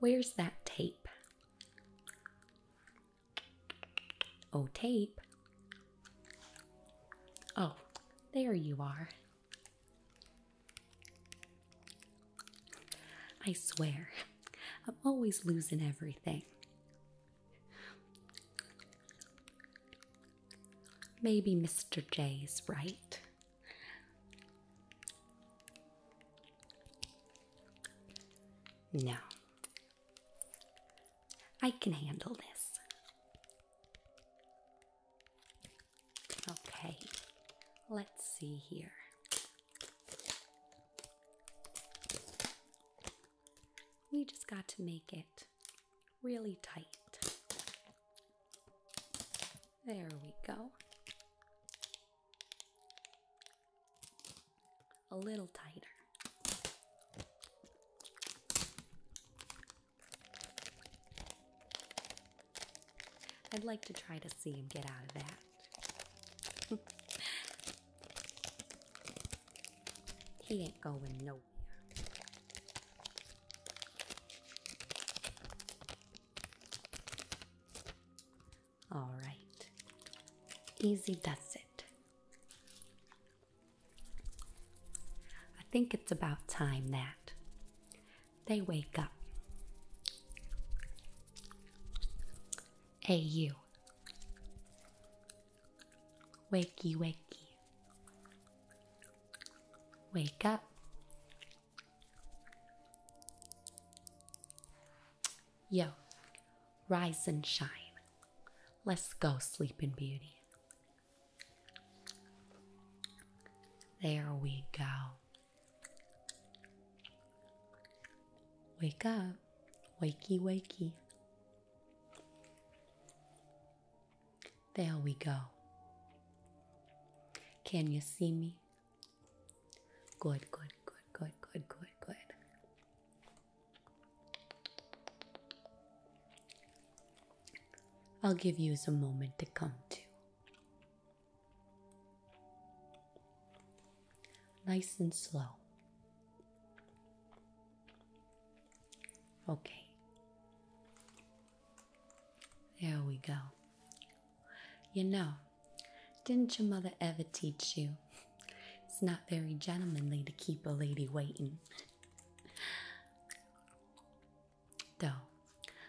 Where's that tape? Oh, tape. Oh, there you are. I swear, I'm always losing everything. Maybe Mr. J is right. No. I can handle this. Okay, let's see here. We just got to make it really tight. There we go. A little tighter. I'd like to try to see him get out of that he ain't going nowhere. All right, easy does it. I think it's about time that they wake up. A U. Wakey, wakey. Wake up. Yo, rise and shine. Let's go, Sleeping Beauty. There we go. Wake up, wakey, wakey. There we go. Can you see me? Good, good, good, good, good, good, good. I'll give you some moment to come to. Nice and slow. Okay. There we go. You know, didn't your mother ever teach you? It's not very gentlemanly to keep a lady waiting. Though,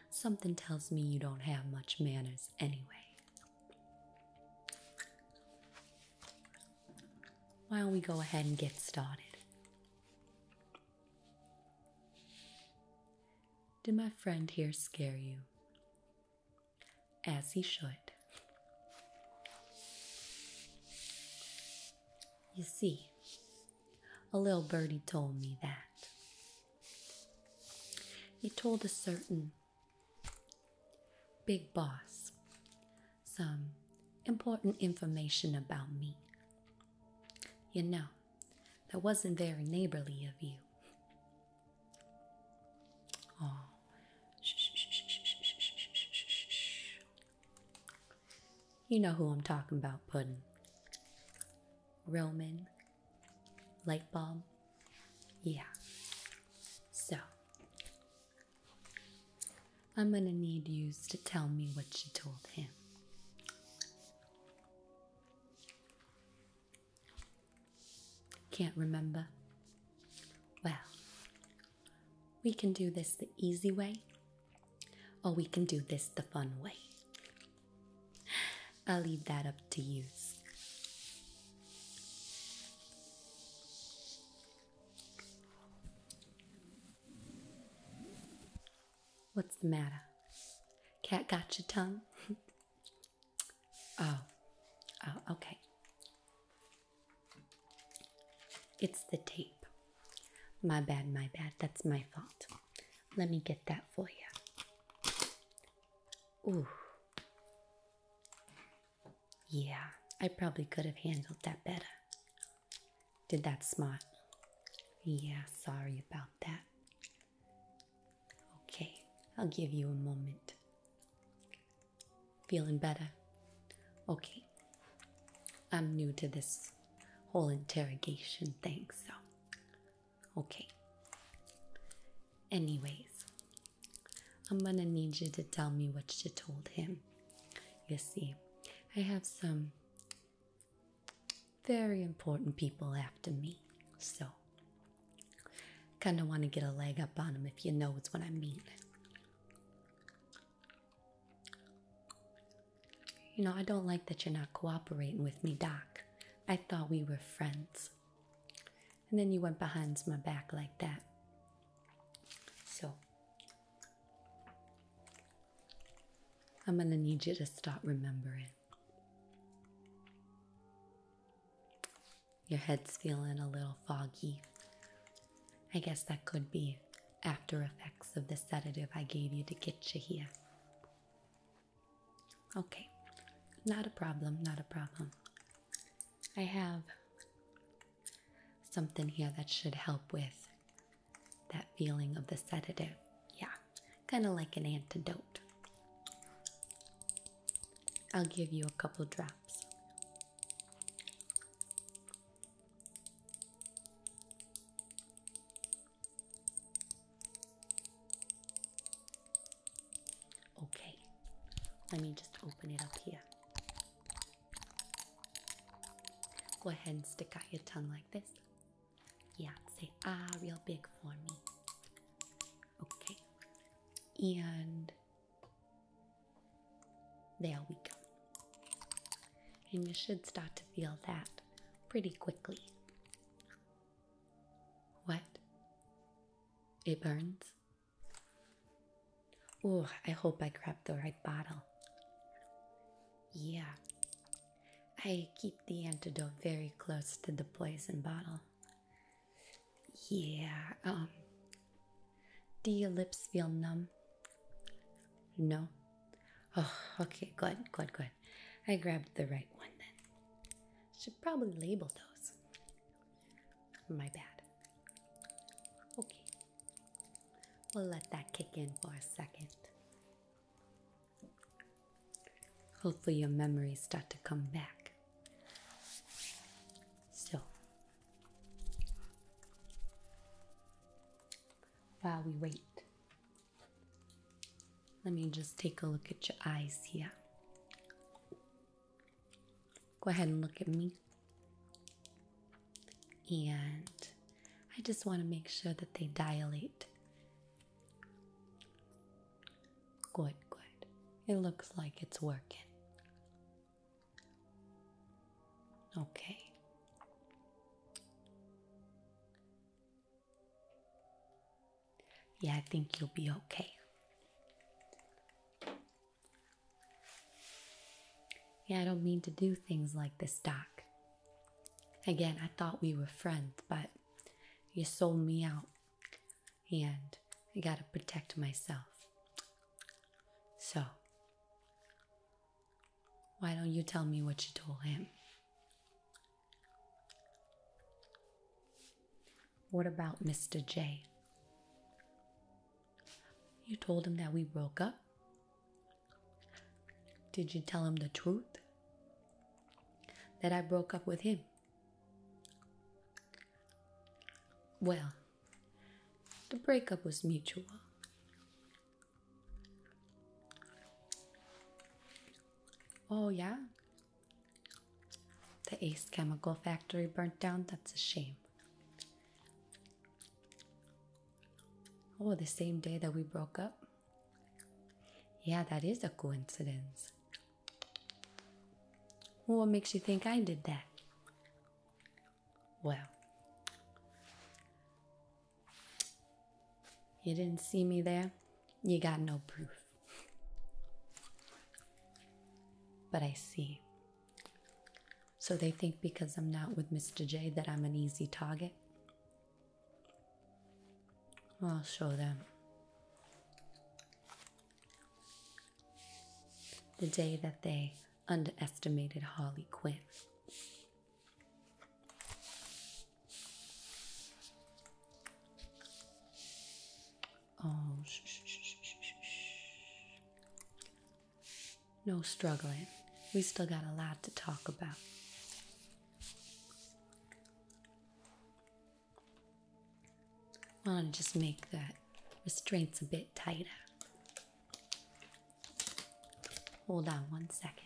something tells me you don't have much manners anyway. Why don't we go ahead and get started? Did my friend here scare you? As he should. You see, a little birdie told me that. He told a certain Big Boss. Some important information about me. You know, that wasn't very neighborly of you. Oh. You know who I'm talking about, Puddin'. Roman Light bulb. Yeah. So, I'm going to need you to tell me what you told him. Can't remember? Well, we can do this the easy way, or we can do this the fun way. I'll leave that up to you. What's the matter? Cat got your tongue? oh, oh, okay. It's the tape. My bad, my bad. That's my fault. Let me get that for you. Ooh, yeah, I probably could have handled that better. Did that smart. Yeah, sorry about that. Okay, I'll give you a moment. Feeling better? Okay. I'm new to this whole interrogation thing, so Okay. Anyways, I'm gonna need you to tell me what you told him. You see, I have some very important people after me, so kind of want to get a leg up on them. if you know what I mean. You know, I don't like that you're not cooperating with me, Doc. I thought we were friends and then you went behind my back like that. So, I'm gonna need you to stop remembering. Your head's feeling a little foggy. I guess that could be after effects of the sedative I gave you to get you here. Okay, not a problem, not a problem. I have something here that should help with that feeling of the sedative. Yeah, kind of like an antidote. I'll give you a couple drops. Okay, let me just open it up here. Go ahead and stick out your tongue like this. Yeah, say ah real big for me. Okay, and there we go. And you should start to feel that pretty quickly. What? It burns. Oh, I hope I grabbed the right bottle. Yeah. I keep the antidote very close to the poison bottle. Yeah, um. Do your lips feel numb? No? Oh, okay, good, good, good. I grabbed the right one then. Should probably label those. My bad. Okay. We'll let that kick in for a second. Hopefully, your memories start to come back. Still, while we wait, let me just take a look at your eyes here. Go ahead and look at me. And I just want to make sure that they dilate. Good, good. It looks like it's working. Okay. Yeah, I think you'll be okay. Yeah, I don't mean to do things like this, Doc. Again, I thought we were friends, but you sold me out, and I gotta protect myself. So, why don't you tell me what you told him? What about Mr. J? You told him that we broke up? Did you tell him the truth? That I broke up with him? Well, the breakup was mutual. Oh, yeah? The Ace Chemical Factory burnt down, that's a shame. Oh, the same day that we broke up? Yeah, that is a coincidence. What makes you think I did that? Well, you didn't see me there, you got no proof. But I see. So they think because I'm not with Mr. J that I'm an easy target? I'll show them. The day that they underestimated Harley Quinn. Oh, shh, shh, shh, shh, shh. no struggling. We still got a lot to talk about. I want to just make that restraints a bit tighter. Hold on one second.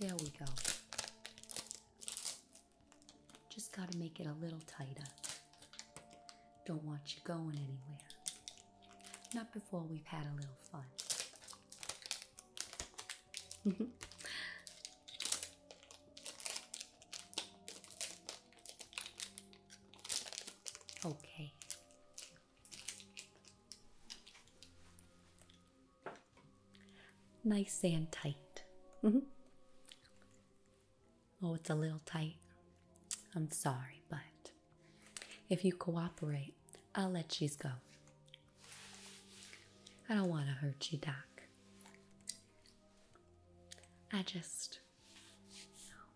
There we go. Just got to make it a little tighter. Don't want you going anywhere. Not before we've had a little fun. okay. Nice and tight. Mm-hmm. oh, it's a little tight. I'm sorry, but if you cooperate, I'll let she's go. I don't want to hurt you, Doc. I just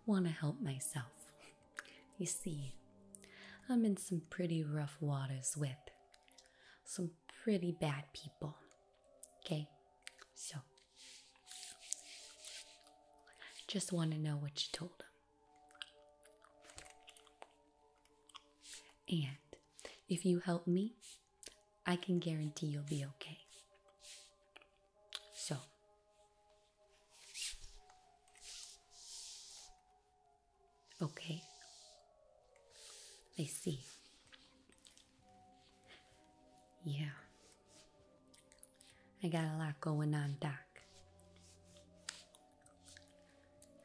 want to help myself. You see, I'm in some pretty rough waters with some pretty bad people. Okay? So, just want to know what you told them. And if you help me, I can guarantee you'll be okay. So, okay, I see. Yeah, I got a lot going on, Doc.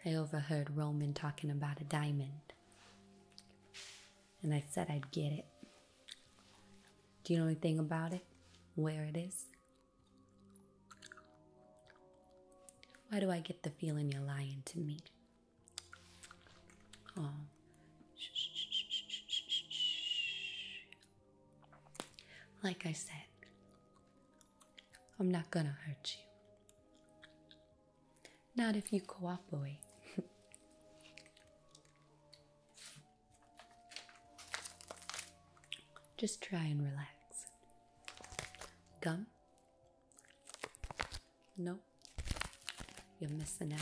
I overheard Roman talking about a diamond. And I said I'd get it. Do you know anything about it? Where it is? Why do I get the feeling you're lying to me? Oh. Shh, shh, shh, shh, shh, shh. Like I said, I'm not gonna hurt you. Not if you cooperate. Just try and relax. Gum? No, you're missing out.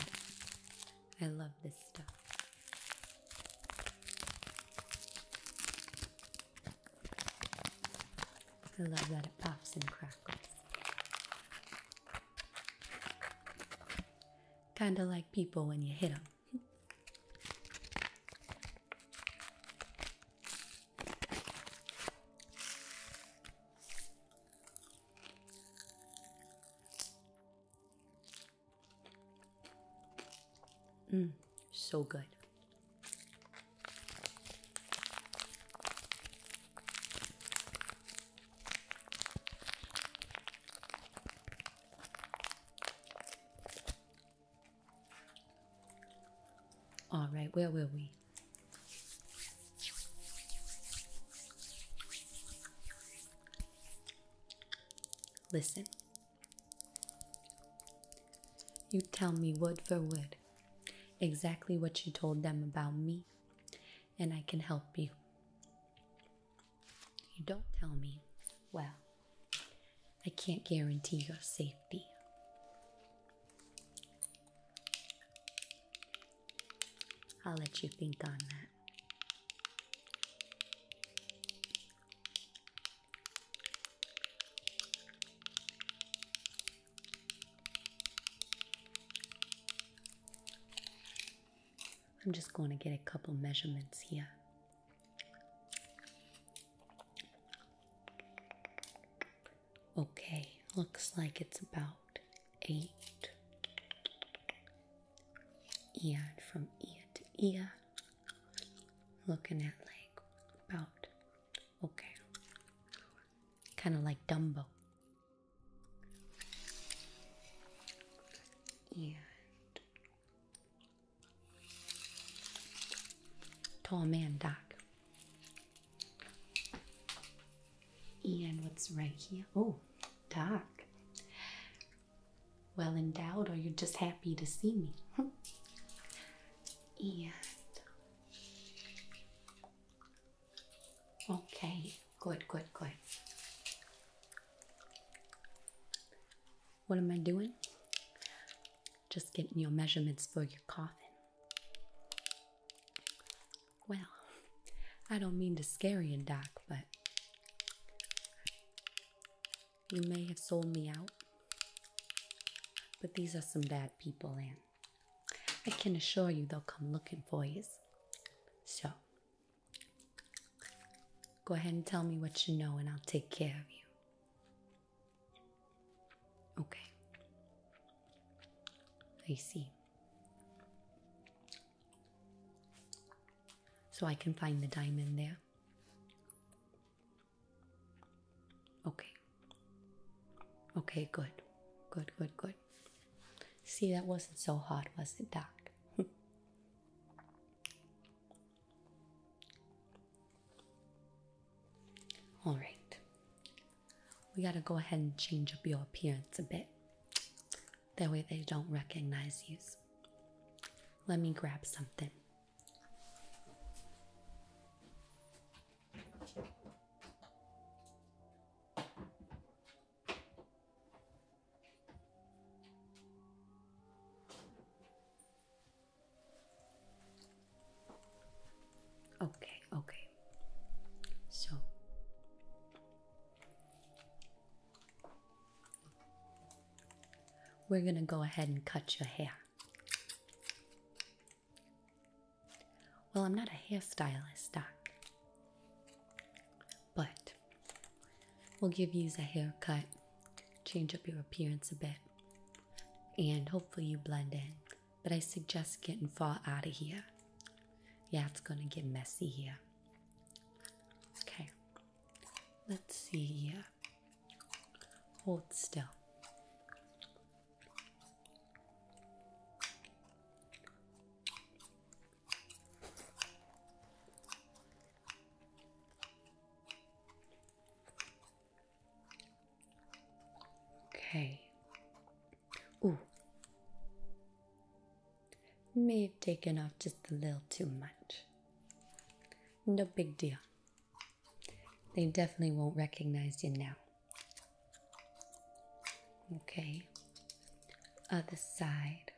I love this stuff. I love that it pops and crackles. Kind of like people when you hit them. Mm, so good. All right, where will we? Listen, you tell me word for word exactly what you told them about me, and I can help you. You don't tell me, well, I can't guarantee your safety. I'll let you think on that. I'm just going to get a couple measurements here. Okay, looks like it's about eight. And from ear to ear looking at like about okay, kind of like Dumbo. And tall man Doc. And what's right here? Oh, Doc well endowed or you're just happy to see me. Hmm. and okay, good, good, good. What am I doing? Just getting your measurements for your coffin. Well, I don't mean to scare you, Doc, but you may have sold me out, but these are some bad people, and I can assure you they'll come looking for us. So, go ahead and tell me what you know, and I'll take care of you. Okay. I see. So I can find the diamond there. Okay. Okay, good. Good, good, good. See, that wasn't so hot, was it, Doc? All right. We got to go ahead and change up your appearance a bit. That way they don't recognize you. Let me grab something. Okay, okay. So we're going to go ahead and cut your hair. Well, I'm not a hairstylist, Doc. But we'll give you a haircut, change up your appearance a bit, and hopefully you blend in. But I suggest getting far out of here. Yeah, it's gonna get messy here. Okay, Let's see here. Hold still. Okay. Ooh. May have taken off just a little too much. No big deal. They definitely won't recognize you now. Okay, other side.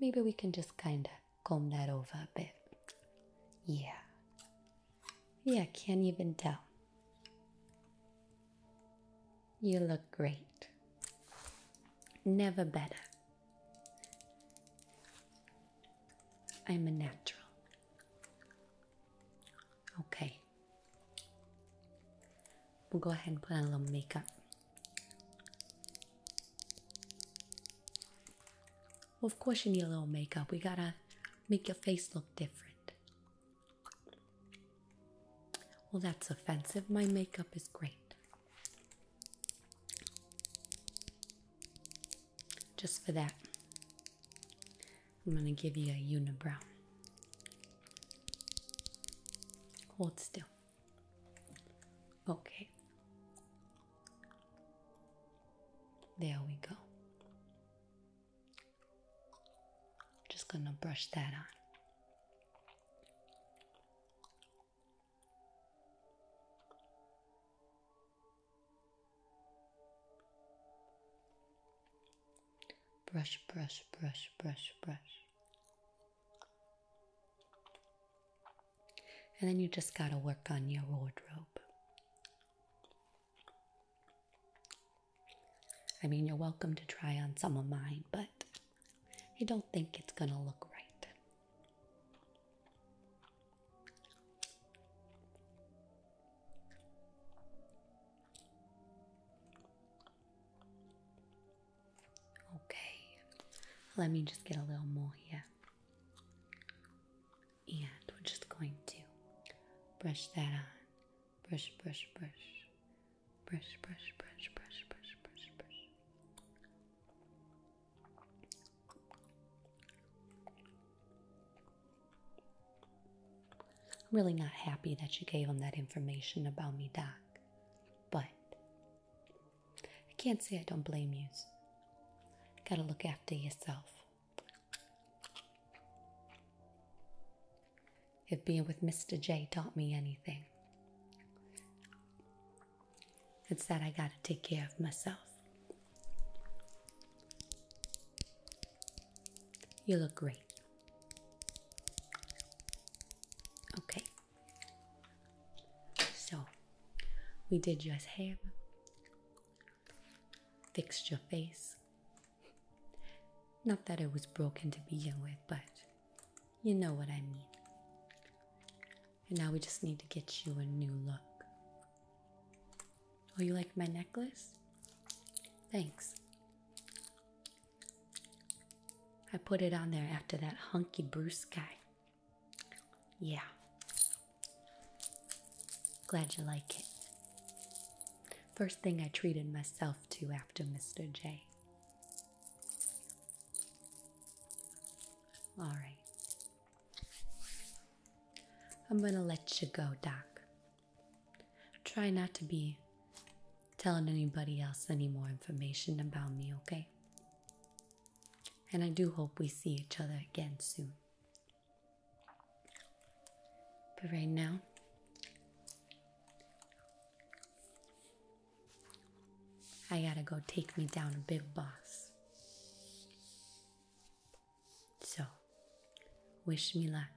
Maybe we can just kind of comb that over a bit. Yeah. Yeah, can't even tell. You look great. Never better. I'm a natural. Okay. We'll go ahead and put on a little makeup. Well, of course, you need a little makeup. We gotta make your face look different. Well, that's offensive. My makeup is great. Just for that, I'm going to give you a unibrow. Hold still. Okay. There we go. Just gonna brush that on. Brush, brush, brush, brush, brush. And then you just gotta work on your wardrobe. I mean, you're welcome to try on some of mine, but I don't think it's going to look right. Okay, let me just get a little more here. And we're just going to brush that on brush, brush, brush, brush, brush, brush, brush, brush, brush, brush. I'm really not happy that you gave him that information about me, Doc, but I can't say I don't blame you. Gotta look after yourself. If being with Mr. J taught me anything, it's that I gotta take care of myself. You look great. Okay. So, we did your hair, fixed your face, not that it was broken to begin with, but you know what I mean. And now we just need to get you a new look. Oh, you like my necklace? Thanks. I put it on there after that hunky Bruce guy. Yeah. Glad you like it. First thing I treated myself to after Mr. J. All right. I'm going to let you go, Doc. Try not to be telling anybody else any more information about me, okay? And I do hope we see each other again soon. But right now, I gotta go take me down a big boss. So, wish me luck.